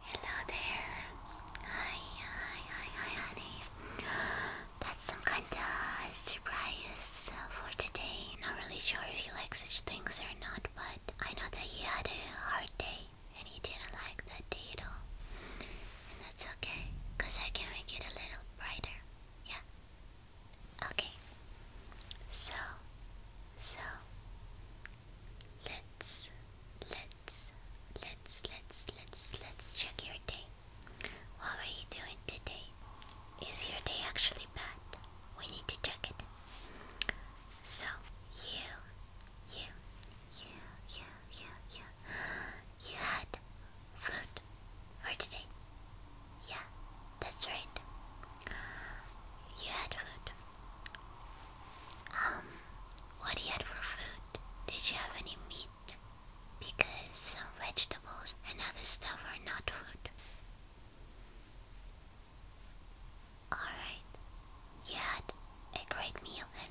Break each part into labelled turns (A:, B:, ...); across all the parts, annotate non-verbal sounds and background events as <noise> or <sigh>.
A: Hello there. Hi, hi, hi, hi, honey. That's some kind of surprise uh, for today. Not really sure if you like such things or not, but I know that you had a hard day and he didn't like that data. And that's okay, because I can make it a little brighter. Yeah. Okay. So, so, let's, let's, let's, let's, let's, let's check your day. What were you doing today? Is your day actually bad? We need to check it. So, you, you, you, you, you, you. You had food for today. Yeah, that's right. You had food. Um, what you had for food? Did you have any meat? Because some vegetables and other stuff are not food. Alright, Yet, a great meal then.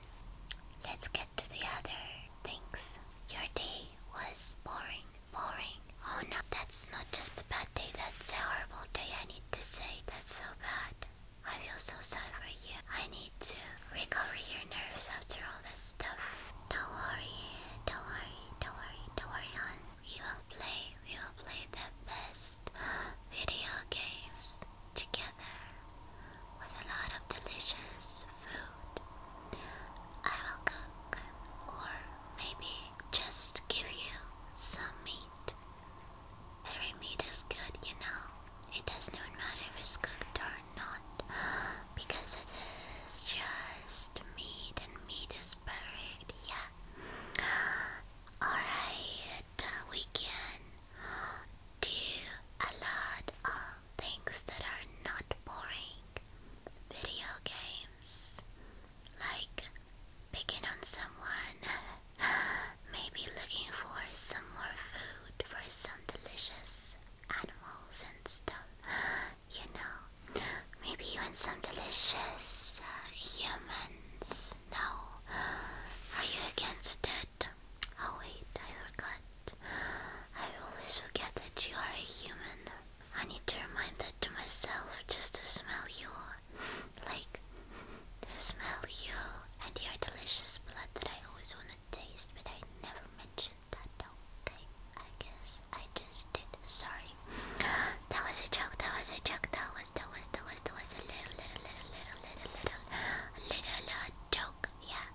A: Let's get to the other things. Your day was boring, boring. Oh no, that's not just a bad day, that's a horrible day, I need to say. That's so bad. I feel so sorry for you. I need to recover your nerves after all this stuff. Don't worry, don't worry, don't worry, don't worry on. We will play, we will play the best <gasps> video games together with a lot of delicious food. I will cook, or maybe just give you some meat. Every meat is good, you know. It doesn't even matter if it's cooked or not, because it is just meat, and meat is perfect, yeah. Alright, uh, we can do a lot of things that are not boring. Video games, like picking on someone, <laughs> maybe looking for some more food for some delicious animals and stuff. You know, maybe even some delicious uh, humans. No, are you against it? Oh wait, I forgot. I always forget that you are a human. I need to remind that to myself just to smell you. like, to smell you and your delicious blood that I always want to taste, but I never mentioned that, okay? I guess I just did. Sorry. That was a joke, that was a joke, that was, that was, that was, that was a little, little, little, little, little, little, little, little, joke, yeah.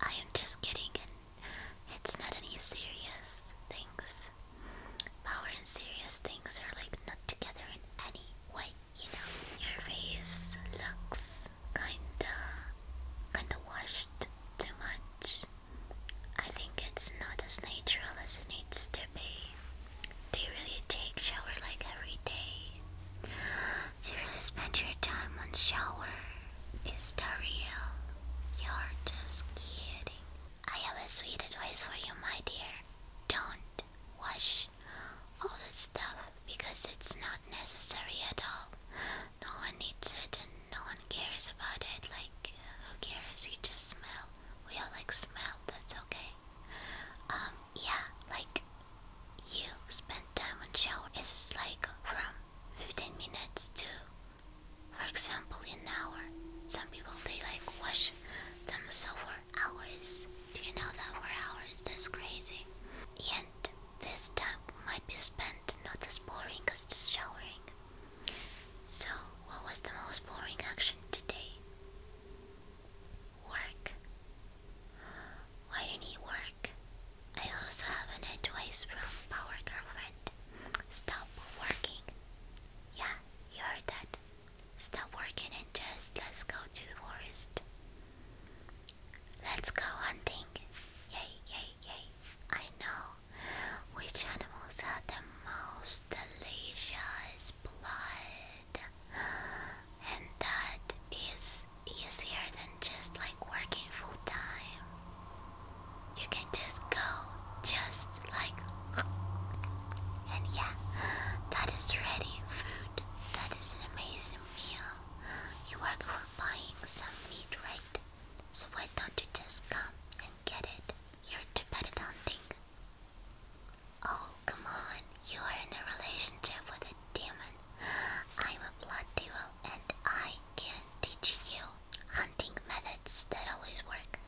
A: I am just kidding, and it's not any serious things. Power and serious things are like not together in any way, you know. Your face looks kinda, kinda washed too much. I think it's not as natural as it needs to be. Do you really take shower like every day? You really spend your time on shower. Is that real? You're just kidding. I have a sweet advice for you, my dear. Don't wash all this stuff because it's not necessary at all. No one needs it and no one cares about it. Like, who cares? You just smell. We all like smell, that's okay. Um, yeah, like you spend time on shower. It's like from 15 minutes to, for example, an hour. Some people they like wash themselves for hours. Do you know that for hours? That's crazy. And this time might be spent not as boring as just showering. So, what was the most boring action today? Work. Why didn't he work? I also have an advice from Power Girlfriend. Stop working. Yeah, you heard that. Stop working and just let's go to the forest. Let's go hunting. Yay, yay, yay. I know which animals have the most delicious blood and that is easier than just like working full time. You can just go, just like, and yeah, that is ready food. That is an amazing meal. You work for buying some meat, right? So why don't you just come and get it? You're too bad at hunting. Oh, come on. You are in a relationship with a demon. I'm a blood duel, and I can teach you hunting methods that always work.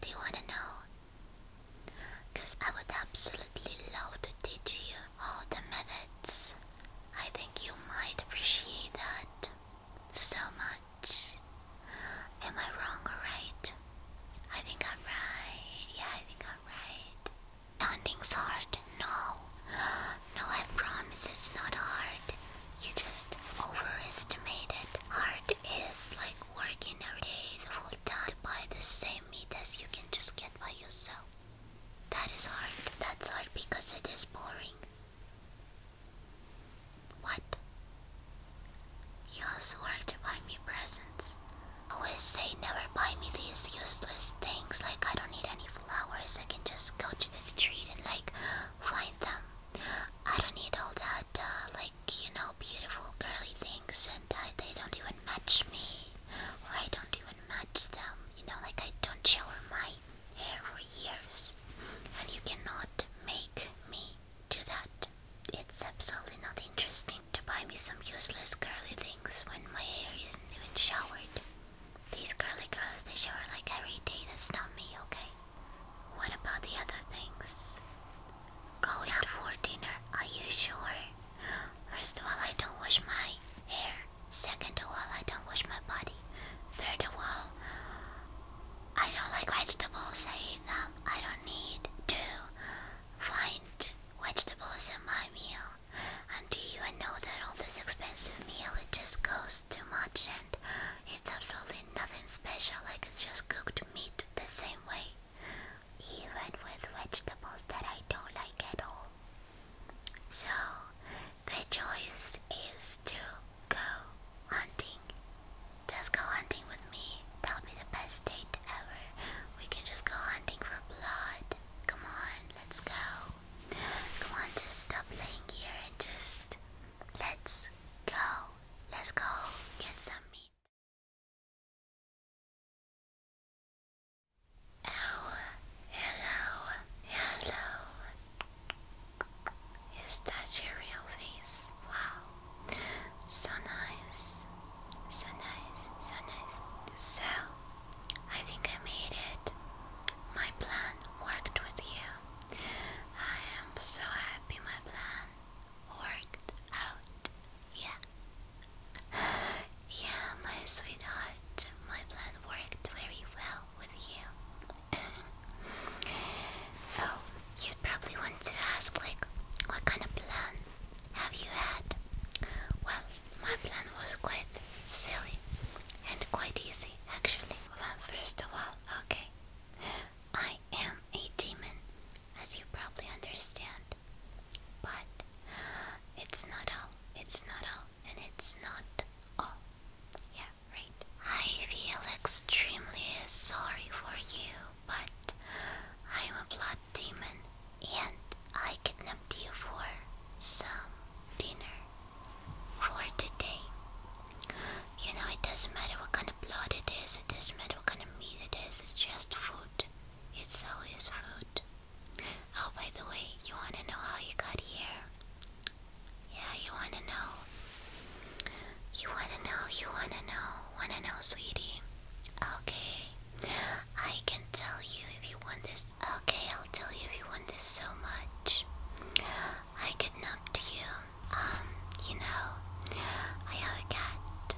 A: Do you want to know? Because I would absolutely love to teach you all the methods. I think you might appreciate that so much. Am I wrong or right? I think I'm right. Yeah, I think I'm right. Hunting's hard. No. No, I promise it's not hard. You just overestimate it. Hard is like working every day the whole time to buy the same meat as you can just get by yourself. That is hard. That's hard because it is boring. What? You also work to buy me presents always say never buy me these useless things, like I don't need any flowers, I can just go to the street and like find them. I don't need all that, uh, like, you know, beautiful girly things, and uh, they don't even match me, or I don't even match them. You know, like I don't shower my hair for years, and you cannot make me do that. It's absolutely not interesting to buy me some useless curly things when my hair isn't even showered. These curly girls, they shower like every day, that's not me, okay? What about the other things? Going out for dinner, are you sure? First of all, I don't wash my hair. Second of all, I don't wash my body. Third of all, I don't like vegetables, I eat them. I don't need to find Vegetables in my meal. And do you even know that all this expensive meal it just costs too much and it's absolutely nothing special like it's just cooked meat the same way. Even with vegetables that I don't like at all. So the choice is to go hunting. Just go hunting with me. That'll be the best date ever. We can just go hunting for blood. Come on, let's go. Come on, just stop playing here and just let's go. Let's go get some meat. Oh, hello, hello. Is that your real face? Wow, so nice. So nice, so nice. So, I think I made it. My plan worked with you. I am so happy my plan worked out. Yeah. Yeah, my sweetheart, my plan worked very well with you. <laughs> oh, you'd probably want to ask, like, what kind of plan have you had? Well, my plan was quite silly and quite easy actually. Well, first of all, okay, I am a demon, as you probably understand, but it's not all, it's not all, and it's not all. Yeah, right. I feel extremely sorry for you, but I'm a obliged demon, and I kidnapped you for some dinner for today. You know, it doesn't matter what kind of blood it is, it doesn't matter what kind of meat it is, it's just food. It's all always food. Oh, by the way, you want to know how you got here? Yeah, you want to know. You want to know, you want to know, want to know, sweetie. Okay, I can tell you if you want this. Okay, I'll tell you if you want this so much. I kidnapped you. Um, you know, I have a cat.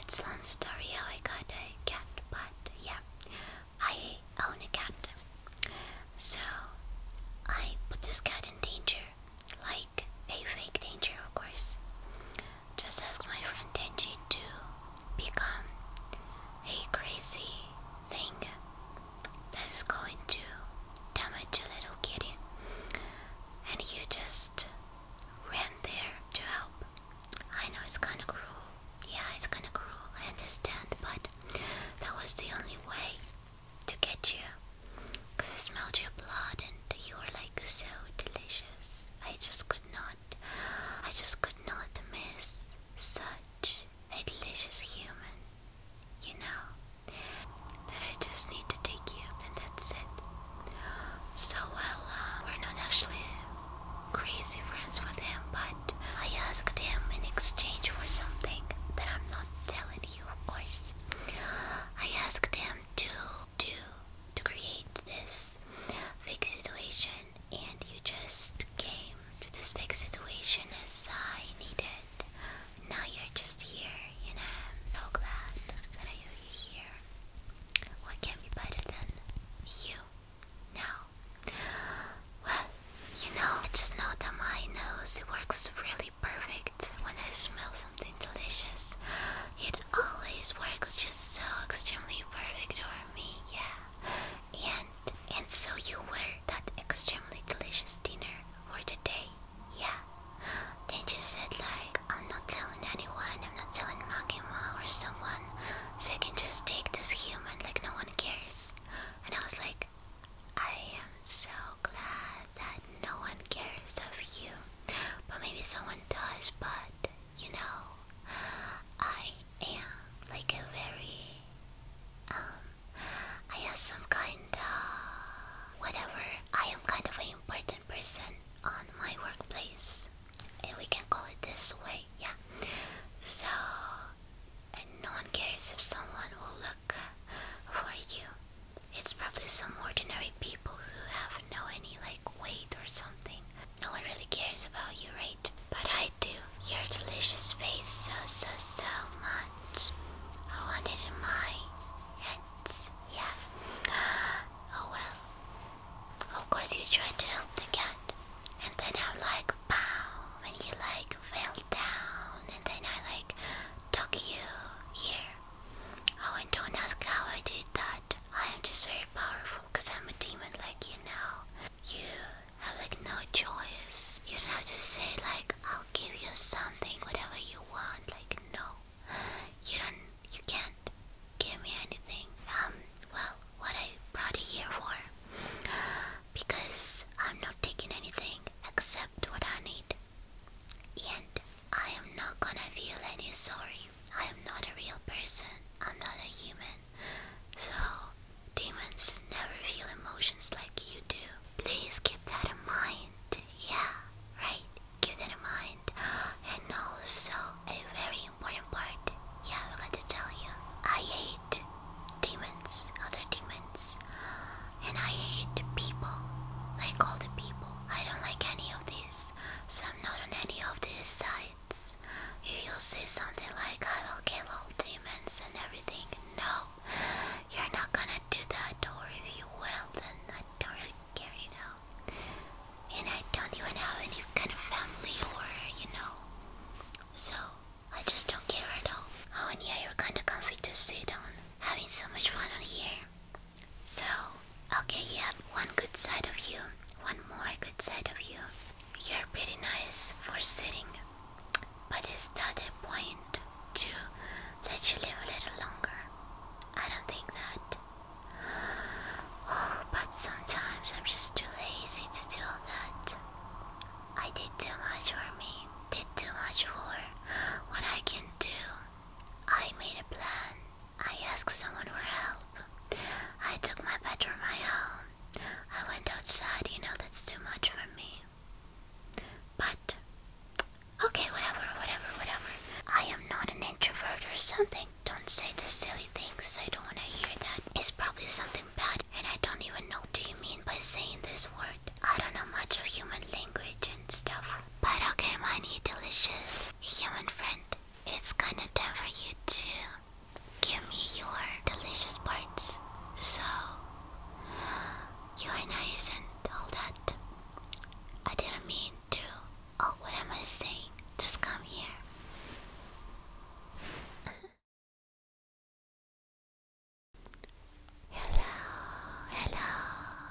A: It's a long story how I got a cat, but yeah, I own a cat. So, I put this cat in danger. Like, a fake danger, of course. Just ask my friend Tenji to become a crazy thing that is going to damage a little kitty, and you just ran there to help. I know it's kind of cruel. Yeah, it's kind of cruel. I understand, but that was the only way to get you. Cause I smelled your blood and you were like so delicious. I just could not I just could not miss such a delicious human, you know, that I just need to take you, and that's it. So, well, uh, we're not actually crazy friends with him, but I asked him in exchange for something that I'm not telling you, of course. I asked him to do to create this fake situation, and you just came to this fake situation as I needed. Now you're just here, and I'm so glad that I you here. What can be better than you now? Well, you know, it's just know that my nose it works really perfect when I smell something delicious. It always works just so extremely perfect for me, yeah. And and so you were that extremely delicious dinner for the day, yeah. Then you said like I'm not telling anyone, I'm not telling Makima or someone, so you can just take this human like no one cares. And I was like, I am so glad that no one cares of you. But maybe someone does, but you know, I am like a very, um, I have some kind of, whatever, I am kind of an important person on my workplace. And we can call it this way, yeah. So, and no one cares if someone will look for you. It's probably some ordinary people who have no any like weight or something. No one really cares about you, right? But I do. Your delicious face so, so, so much. I want it in mine. And, yeah. Oh well. Of course you tried to help the cat. And then I'm like, pow. And you like, fell down. And then I like, tuck you here. Oh, and don't ask how I did that. I am just very powerful because I'm a demon like you know. You have like no choice. You don't have to say like I'll give you something, whatever you want. Like no. You don't you can't give me anything. Um well what I brought here for because I'm not taking anything except what I need. And I am not gonna feel any sorry I am not a real person. I'm not a human. So, demons never feel emotions like you do. Please keep that in mind. Yeah, right? Keep that in mind. And also, a very important part. Yeah, I forgot to tell you. I hate demons, other demons. And I hate people. Like all the people. I don't like any of this, So I'm not on any of this side. If you will say something like, I will kill all demons and everything, no, you're not gonna do that, or if you will, then I don't really care, you know. And I don't even have any kind of family, or, you know, so I just don't care at all. Oh, and yeah, you're kinda comfy to sit on, having so much fun on here. So, okay, you have one good side of you, one more good side of you. You're pretty nice for sitting, but is that a point to let you live a little longer? I don't think that. Oh, but sometimes I'm just too lazy to do all that. I did too much for me, did too much for what I can do. I made a plan I asked someone for help. I took my bedroom my home. I went outside, you know that's too much for me. But okay, whatever, whatever, whatever. I am not an introvert or something. Don't say the silly things. I don't wanna hear that. It's probably something bad and I don't even know what you mean by saying this word. I don't know much of human language and stuff. But okay, my new delicious human friend. It's kinda time for you to give me your delicious parts. So, you're nice and all that. I didn't mean to. Oh, what am I saying? Just come here. <laughs> Hello, hello,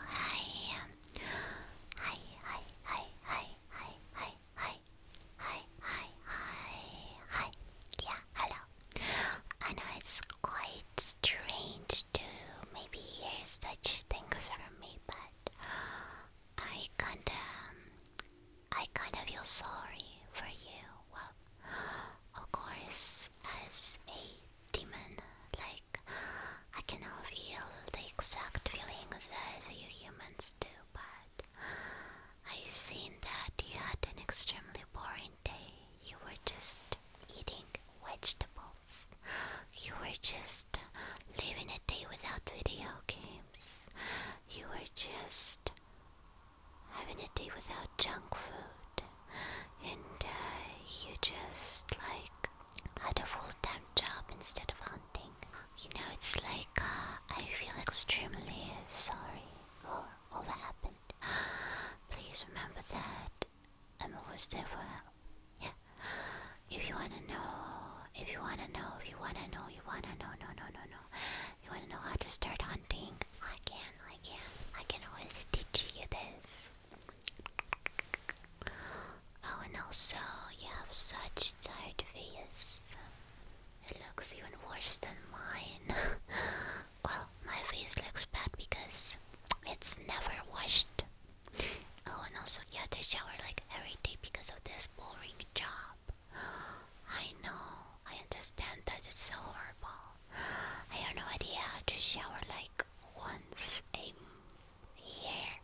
A: hi, hi, hi, hi, hi, hi, hi, hi, hi, hi, hi. Yeah, hello. I know it's quite strange to maybe hear such things from me, but I kinda, I kinda feel sorry for you. Well, of course, as a demon, like I cannot feel the exact feelings as you humans do, but I seen that you had an extremely boring day. You were just eating vegetables. You were just living a day without video games. You were just having a day without junk food. And uh, you just like had a full time job instead of hunting. You know, it's like uh, I feel extremely sorry for all that happened. <gasps> Please remember that I'm always there for you. Yeah. If you wanna know, if you wanna know, if you wanna know, you wanna know, no, no, no, no. You wanna know how to start hunting? I can, I can. I can always teach you this. Oh, and also you have such tired face. It looks even worse than mine. <laughs> well, my face looks bad because it's never washed. Oh, and also you have to shower like every day because of this boring job. I know. I understand that it's so horrible. I have no idea how to shower like once a year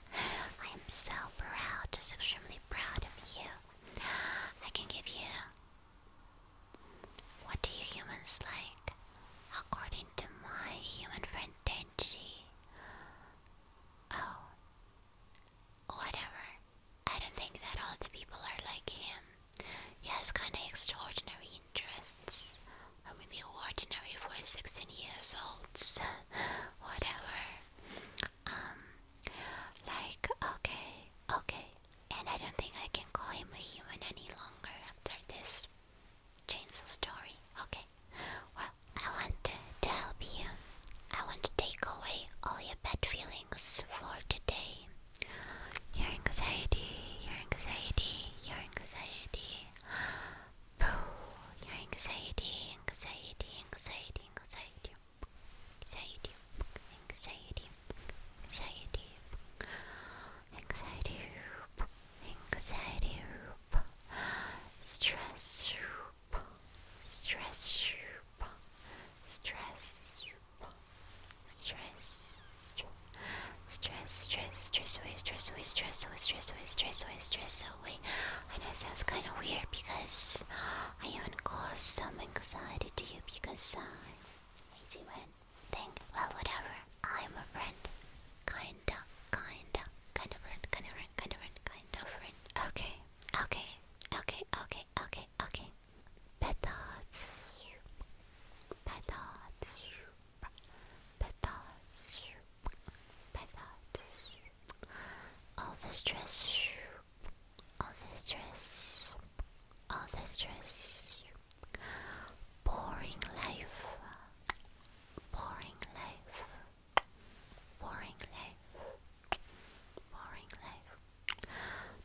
A: I am so proud, just extremely proud of you. I can give you. What do you humans like? According to my human friend Tenchi. Oh. Whatever. I don't think that all the people are like him. He has kinda extraordinary interests or maybe ordinary for 16 years olds, <laughs> whatever. Um, like, okay, okay. And I don't think I can call him a human any longer after this chainsaw story. Okay. Well, I want to help you. I want to take away all your bad feelings for today. Your anxiety, your anxiety, your anxiety. Boo! Your anxiety, anxiety, anxiety, anxiety, anxiety, anxiety, anxiety, anxiety, anxiety, stress, stress, stress, stress. Stress, stress, stress away, stress away, stress away, stress away, stress away, stress so wait, I know it sounds kind of weird because I even caused some anxiety to you because uh, I do one thing. Well, whatever. I'm a friend, kinda, kinda, kind of friend, kind of friend, kind of friend, kind of friend. Okay, okay, okay, okay, okay, okay. Bad thoughts. Bad thoughts. Bad thoughts by that. All the stress, all the stress, all the stress. Boring life, boring life, boring life, boring life.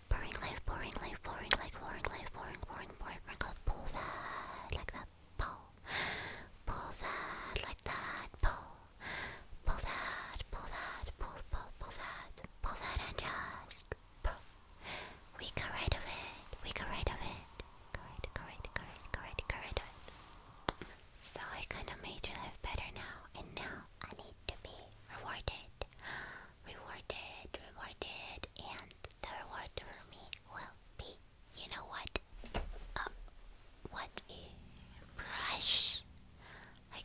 A: Boring life, boring life, boring life, boring life, boring, boring, boring, boring, that, like that, pull, pull that like that, pull, pull that, pull that, pull, pull, pull that, pull that and just pull. We go right of it, we go right of it, go right, go right, go right, go right, go right of it. So I kinda made your life better now, and now I need to be rewarded, rewarded, rewarded, and the reward for me will be you know what? Um, what a brush?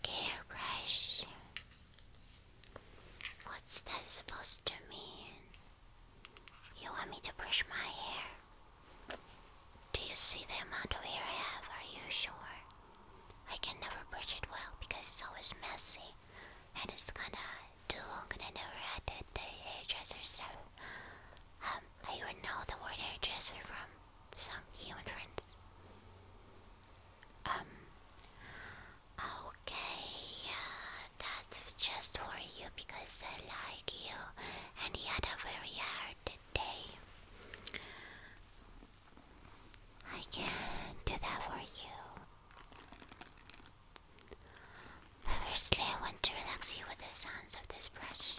A: a hairbrush? What's that supposed to mean? You want me to brush my hair? Do you see the amount of hair I have? Are you sure? I can never brush it well because it's always messy and it's kinda too long and I never had that the hairdresser so. Um, I would know the word hairdresser from some human friends. Um. Okay, yeah, that's just for you because I like you and you had a very hard day. I can do that for you. Firstly, I want to relax you with the sounds of this brush.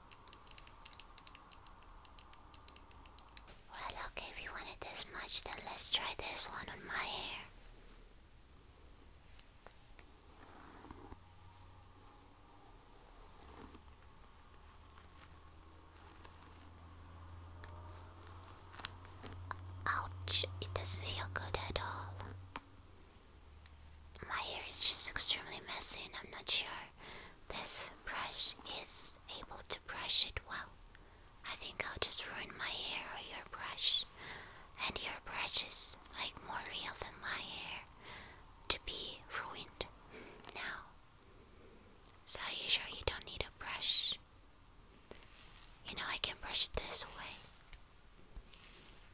A: Well, okay, if you want this much, then let's try this one on my hair. Ouch, it doesn't feel good at all. My hair is just extremely messy and I'm not sure this brush is able to brush it well. I think I'll just ruin my hair or your brush. And your brush is like more real than my hair to be ruined now. So you sure you don't need a brush? You know I can brush it this way.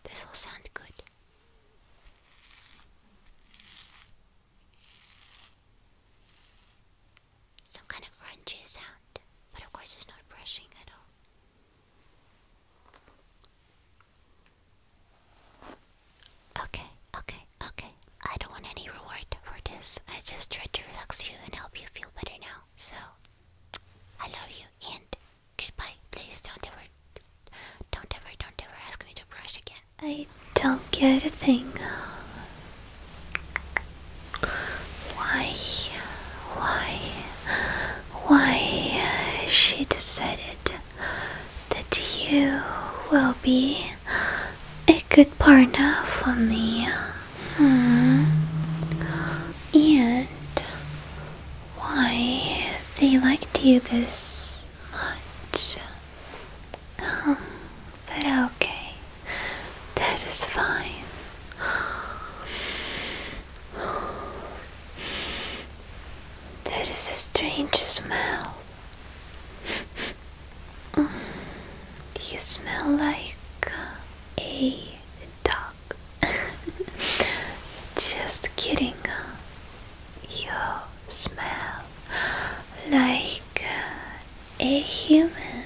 A: This will sound good. Some kind of crunchy sound, but of course it's not brushing at all. Okay, okay, okay. I don't want any reward for this. I just tried to relax you and help you feel better now. So, I love you and
B: goodbye. Please don't ever, don't ever, don't ever ask me to brush again. I don't get a thing. Why? Why? Why? She decided that you will be a good partner for me. Hmm. And why they like to do this? much. Um, but okay, that is fine. That is a strange smell. you smell like a dog. <laughs> Just kidding. You smell like a human,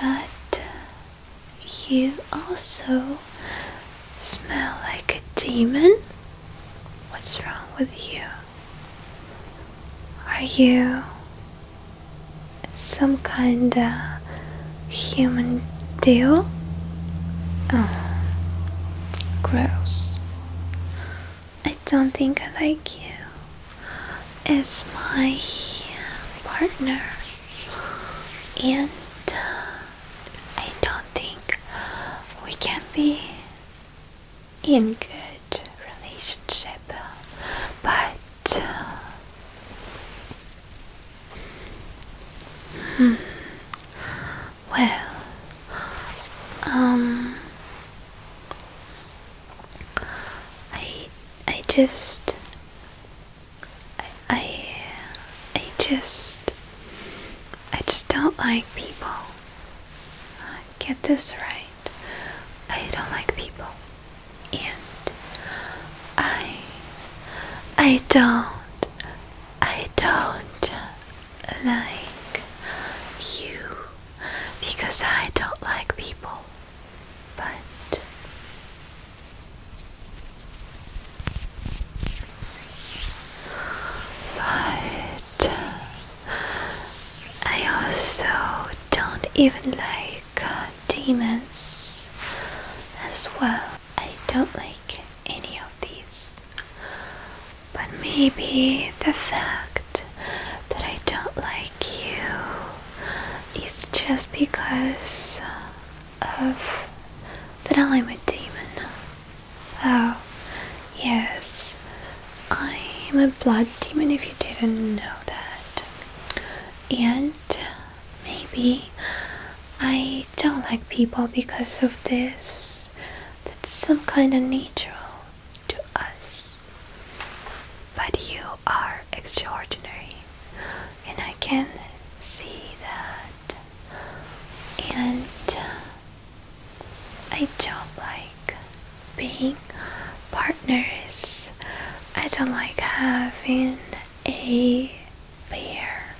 B: but uh, you also smell like a demon? What's wrong with you? Are you some kind of human deal? Oh, gross. I don't think I like you as my partner, and uh, I don't think we can be in good relationship. But uh, hmm. Well, um, I I just I, I just I just don't like people. Get this right. I don't like people, and I I don't I don't like you because I don't like people, but but I also don't even like uh, demons as well. I don't like any of these. But maybe the fact that I don't like you is just because of that I'm a demon. Oh, yes, I'm a blood demon if you didn't know that. And maybe I don't like people because of this that's some kind of natural to us. But you are extraordinary, and I can see that. And uh, I don't like being partners. I don't like having a pair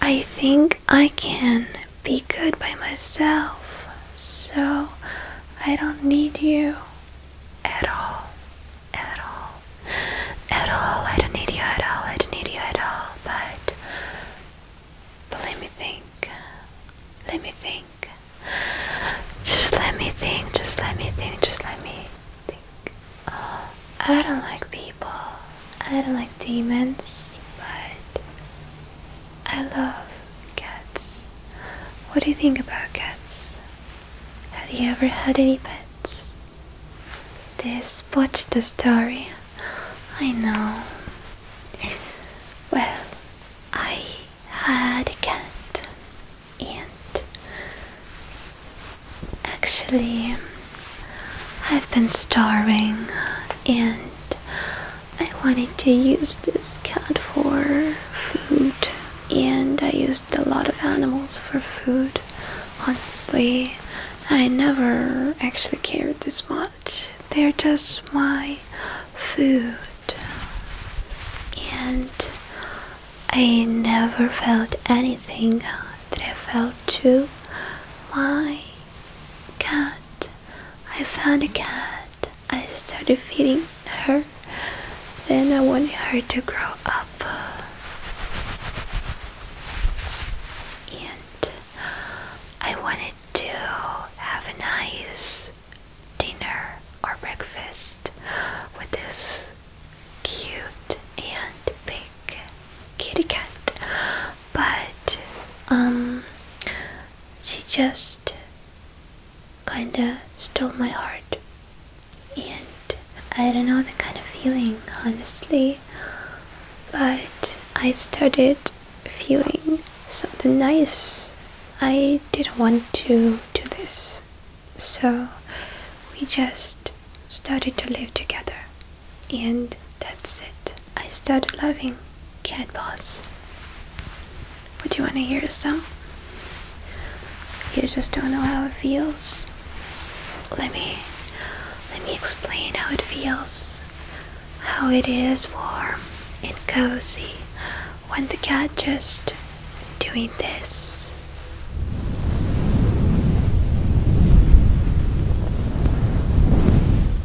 B: I think I can be good by myself, so I don't need you at all. At all. At all. I don't need you at all. I don't need you at all. But, but let me think. Let me think. Just let me think. Just let me think. Just let me think. Oh, I don't like people. I don't like demons, but I love cats. What do you think about cats? Have you ever had any pets? This, botched the story. I know. Well, I had a cat, and actually, I've been starving and I wanted to use this cat for food, and I used a lot of animals for food. Honestly, I never actually cared this much. They're just my food. And I never felt anything that I felt to my Cat. I found a cat. I started feeding her. Then I wanted her to grow up. And I wanted to have a nice dinner or breakfast with this cute and big kitty cat, but um, she just kinda stole my heart, and I don't know the kind of feeling, honestly. But I started feeling something nice. I didn't want to do this, so we just started to live together. And that's it. I started loving cat paws. Would you want to hear song? You just don't know how it feels. Let me let me explain how it feels. How it is warm and cozy when the cat just doing this.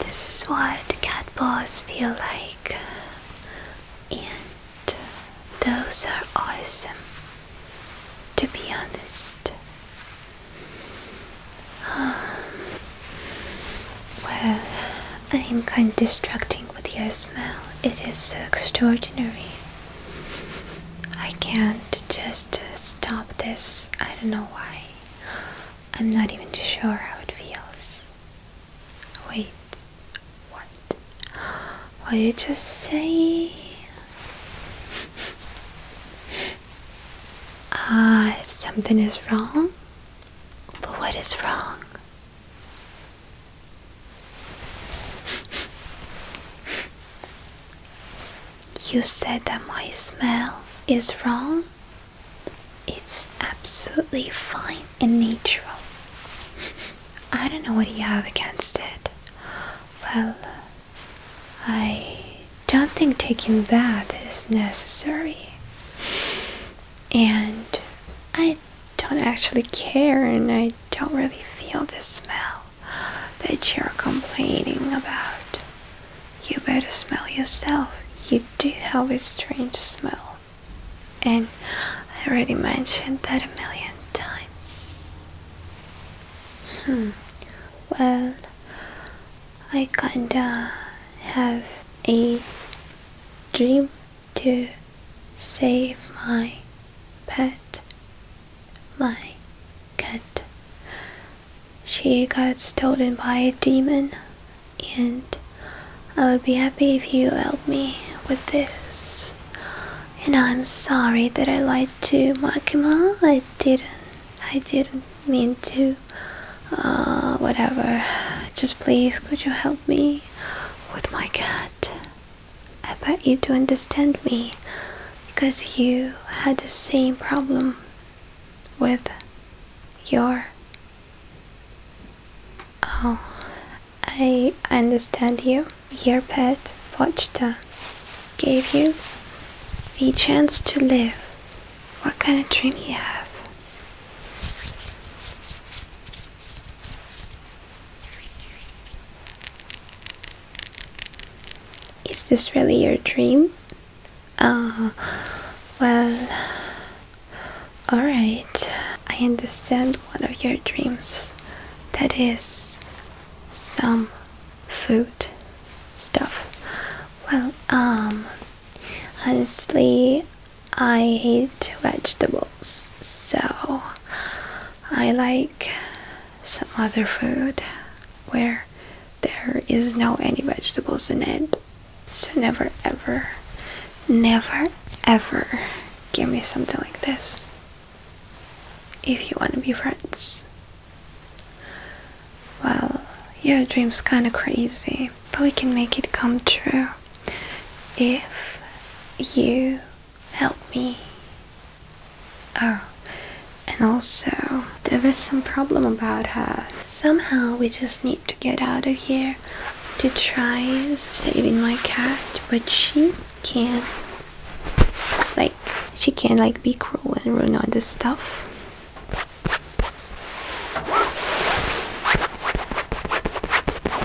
B: This is what cat balls feel like, and uh, those are awesome, to be honest. Um, well, I am kind of distracting with your smell. It is so extraordinary. I can't just stop this. I don't know why. I'm not even sure how it feels. Wait, what? What did you just say? <laughs> Ah, something is wrong? But what is wrong? You said that my smell is wrong? It's absolutely fine and natural. I don't know what you have against it. Well, I don't think taking bath is necessary. And I don't actually care and I don't really feel the smell that you're complaining about. You better smell yourself. You do have a strange smell. And I already mentioned that a million times. Hmm. Well, I kinda have a dream to save my pet, my cat. She got stolen by a demon, and I would be happy if you helped me with this. And I'm sorry that I lied to Makima. I didn't. I didn't mean to. Uh, whatever. Just please, could you help me? with my cat. I bet you do understand me because you had the same problem with your. Oh, I understand you. Your pet, Pochta, gave you a chance to live. What kind of dream you have? Is this really your dream? Uh, well, alright. I understand one of your dreams. That is some food stuff. Well, um, honestly, I hate vegetables, so I like some other food where there is no any vegetables in it. So never ever, never ever give me something like this if you want to be friends. Well, your dream's kind of crazy, but we can make it come true if you help me. Oh, and also, there is some problem about her. Somehow, we just need to get out of here to try saving my cat, but she can't. Like, she can't like be cruel and ruin all this stuff.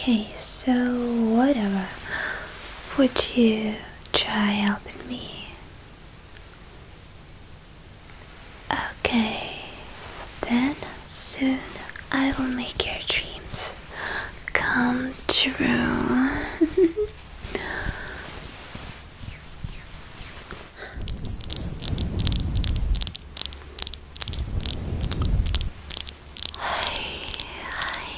B: Okay, so whatever. Would you try helping me? Okay, then soon I will make your dreams come true.
A: Hi, hi,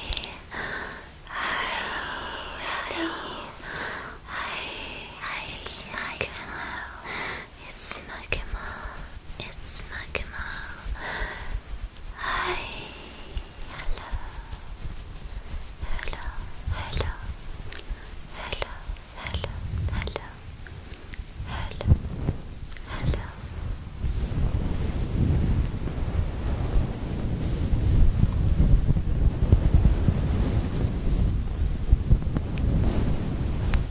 A: hi, hi, hi, hi, it's my it's Makima. It's Makima. Hi. Hello. Hello. Hello. Hello. Hello. Hello. Hello.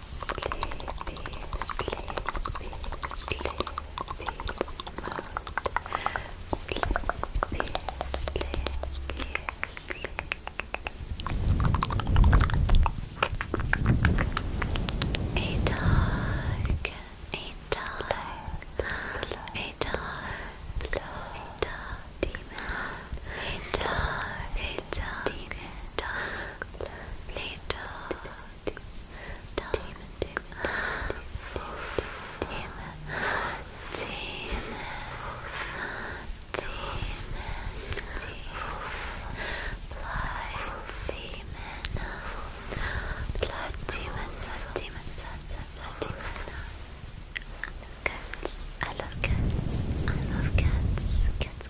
A: sleepy, sleepy, sleepy mode. Sleepy, sleepy, sleepy. A dog, a dog, a dog, a dog, demon, a dog, a dog, a dog. I love cats. I love cats. I love cats. Cats,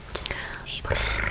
A: a pet, a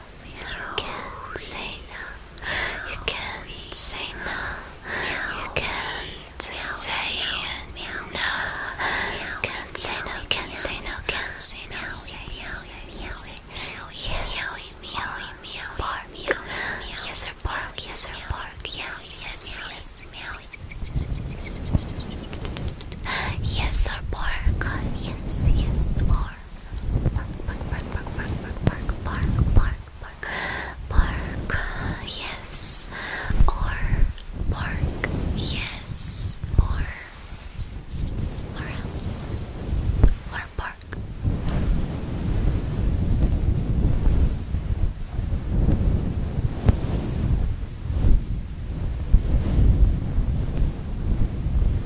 A: You can not say no. You can not say no. You can't say no. You Can't say no. Can't say no. Can't say no. Yes. Bark. Yes or bark. Yes or bark. Yes. Yes. Yes. Yes. Yes, or bark. Yes, yes, or bark, bark, bark, bark, bark, bark, bark, bark, bark, bark. Yes, or bark. Yes, or or else or bark.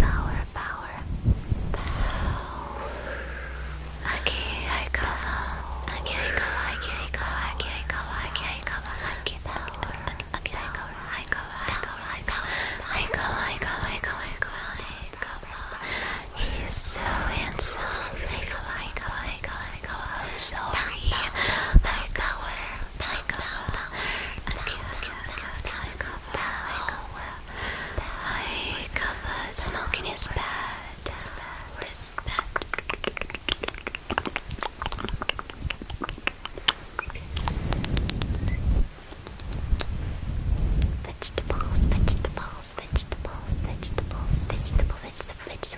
A: Power, power, power. Aki, I go. Aki, I go. Aki, I go. Aki, I go. Aki, I go. Aki, power. I go. I go. I go. I go. I go. I go. I go. I go. I go. He's so handsome. I go. I go. I go. I'm sorry. My cover. My cover. Okay, okay, okay, okay. cover. My cover. Smoking is bad. It's bad. It's bad. Vegetables, vegetables, vegetables, vegetables, vegetable, vegetable, vegetable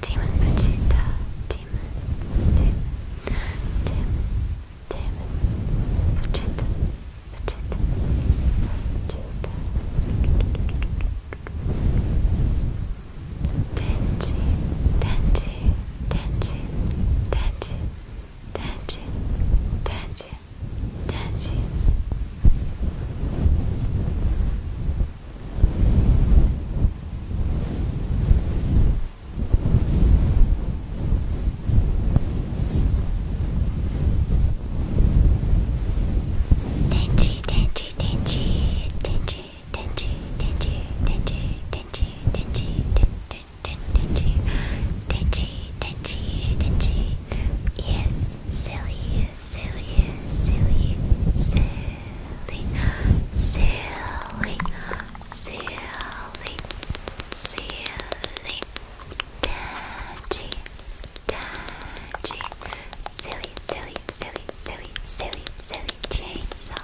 A: Demon Petita, Demon, Demon, Demon, Demon, Petita,
B: Petita, Petita, Tenchi, Tenchi, Tenchi, Tenchi, Tenchi, Tenchi.
A: Tenji, tenji, tenji, tenji, tenji, tenji, tenji, tenji, tenji, tenji, tenji, tenji, tenji, tenji, yes, silly silly, silly, silly, silly, silly, silly, daddy, daddy, silly, silly, silly, silly, silly, silly chainsaw.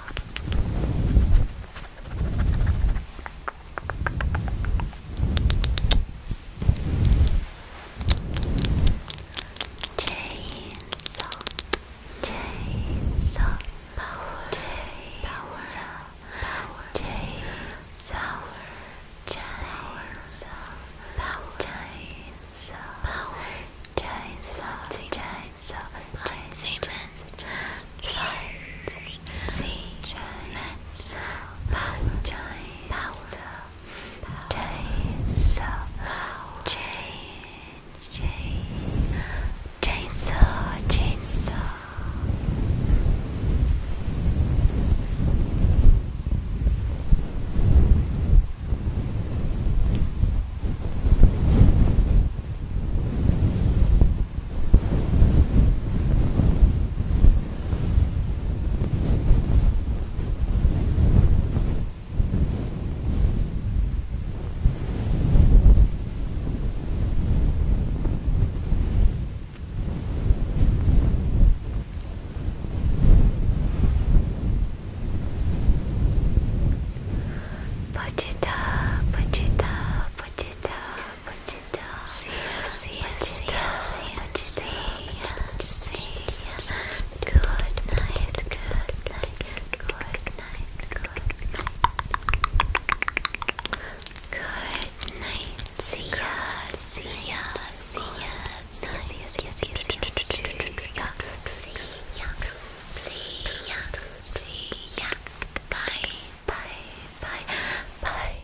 A: Chainsaw, chainsaw, power, chainsaw, power, chainsaw, chainsaw, power, chainsaw, power, chainsaw, chainsaw, chainsaw, chainsaw, chainsaw, power, chainsaw. Chainsaw, chain, chain, chainsaw, chainsaw. Chainsaw, Put it up, put See, see, see, see, see, see, see, see, good night, good night, good night, good night. Good night. See ya, see ya, see ya, see ya, see ya, see ya, see ya, see ya, see ya, see ya, see ya. Bye, bye, bye, bye.